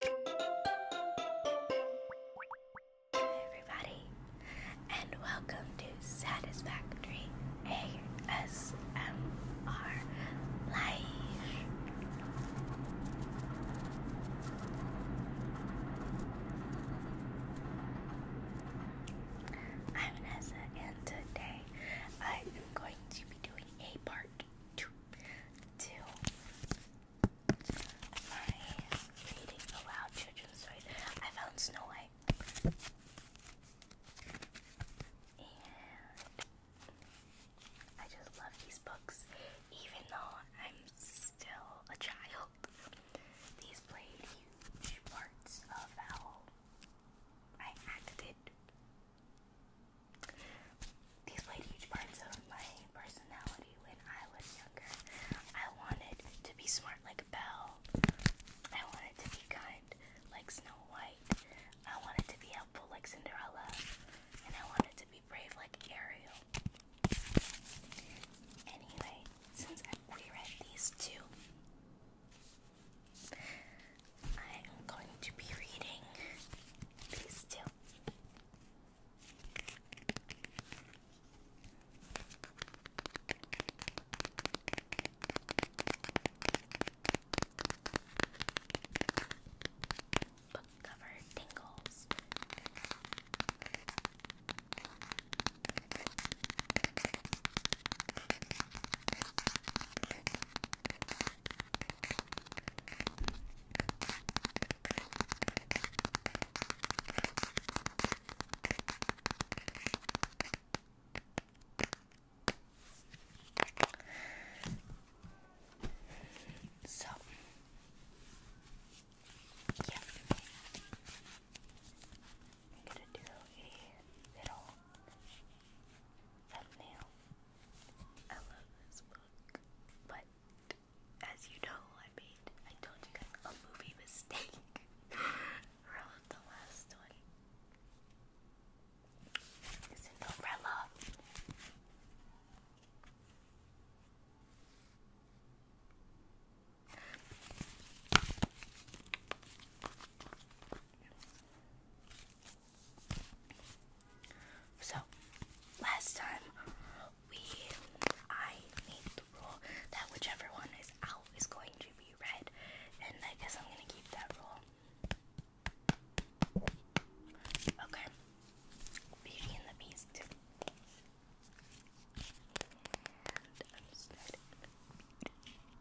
Hey everybody, and welcome to Satisfactory ASMR am Vanessa, and today I am going to be doing a part two to my reading aloud children's stories. I found Snow White. And I just love these books, even though I'm still a child. These played huge parts of how I acted these played huge parts of my personality when I was younger. I wanted to be smart like Belle. I wanted to be kind like Snow White. I wanted to be helpful like Cinderella. And I wanted to be brave like Ariel. Anyway, since I reread these two, I am going to be reading these two. Book cover tingles. So, yeah, I'm gonna do a little thumbnail. I love this book, but as you know, I made I told you guys a movie mistake. the last one. It's an so last time we I made the rule that whichever one is out is going to be red and I guess I'm gonna keep that rule. Okay. Beauty and the Beast.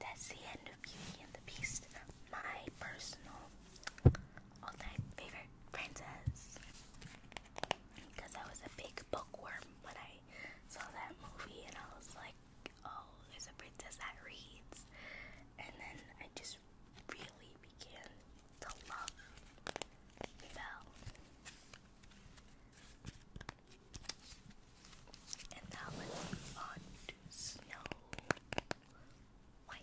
that's the end of Beauty and the Beast, my personal all-time favorite princess. Because I was a big bookworm when I saw that movie, and I was like, "Oh, there's a princess that reads," and then I just really began to love Belle. And now let's move on to Snow White.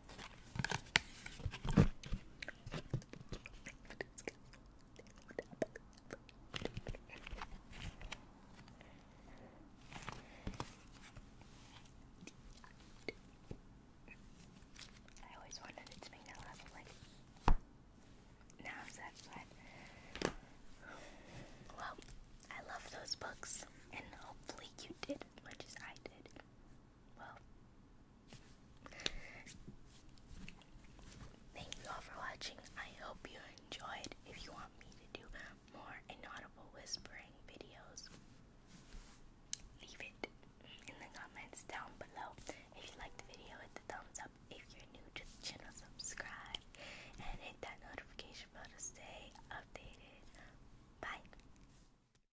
I always wanted to make that laugh, like, now I'm Well, I love those books, and hopefully you did as much as I did. Well, Thank you all for watching. I hope you enjoyed. If you want me to do more inaudible whispering videos, leave it in the comments down below. If you liked the video, hit the thumbs up. If you're new to the channel, subscribe and hit that notification bell to stay updated. Bye.